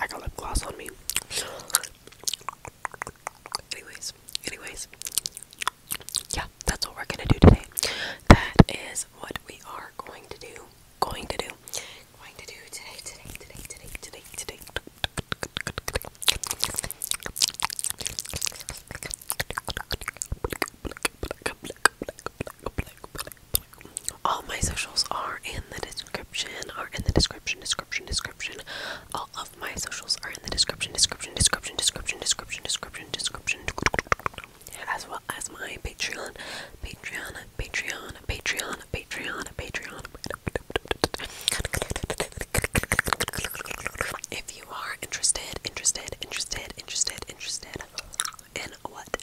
I got lip gloss on me. Anyways, anyways. Yeah, that's what we're gonna do today. That is what we are going to do. Going to do. Going to do today, today, today, today, today, today. All my socials are in the description, are in the description, description, description. All of my socials are in the description, description, description, description, description, description, description. As well as my Patreon, Patreon, Patreon, Patreon, Patreon, Patreon. If you are interested, interested, interested, interested, interested in what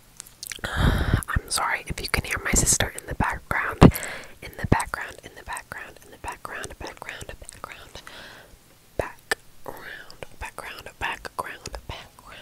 I'm sorry if you can hear my sister in the background. In the background, in the background, in the background, background, background, background, background, background, background.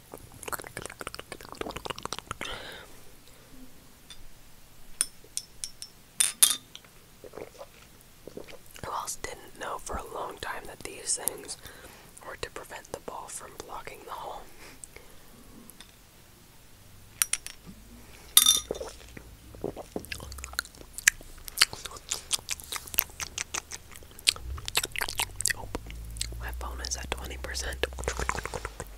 Who else didn't know for a long time that these things were to prevent the ball from blocking the hole? Oh, my phone is at 20%. Let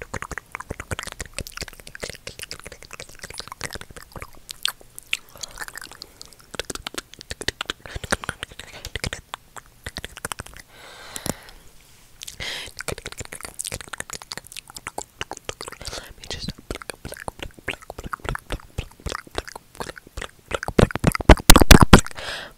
me just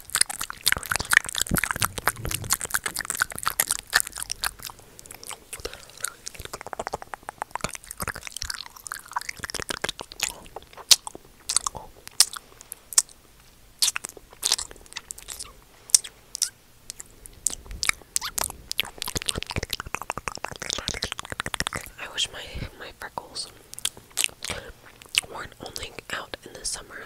I wish my my freckles weren't only out in the summer.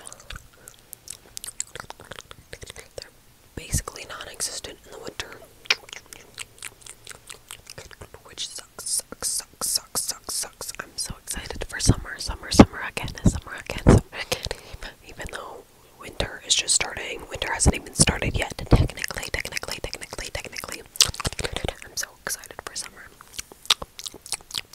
They're basically non-existent in the winter. Which sucks, sucks, sucks, sucks, sucks, sucks. I'm so excited for summer, summer, summer again, summer again, summer again. Even though winter is just starting, winter hasn't even started yet. Technically, technically, technically, technically. I'm so excited for summer.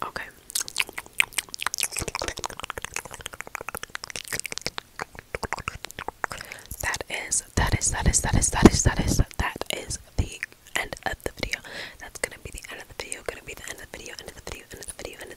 Okay. That is, that is, that is, that is, that is, that is, that is the end of the video. That's gonna be the end of the video, gonna be the end of the video, end of the video, end of the video, end of the video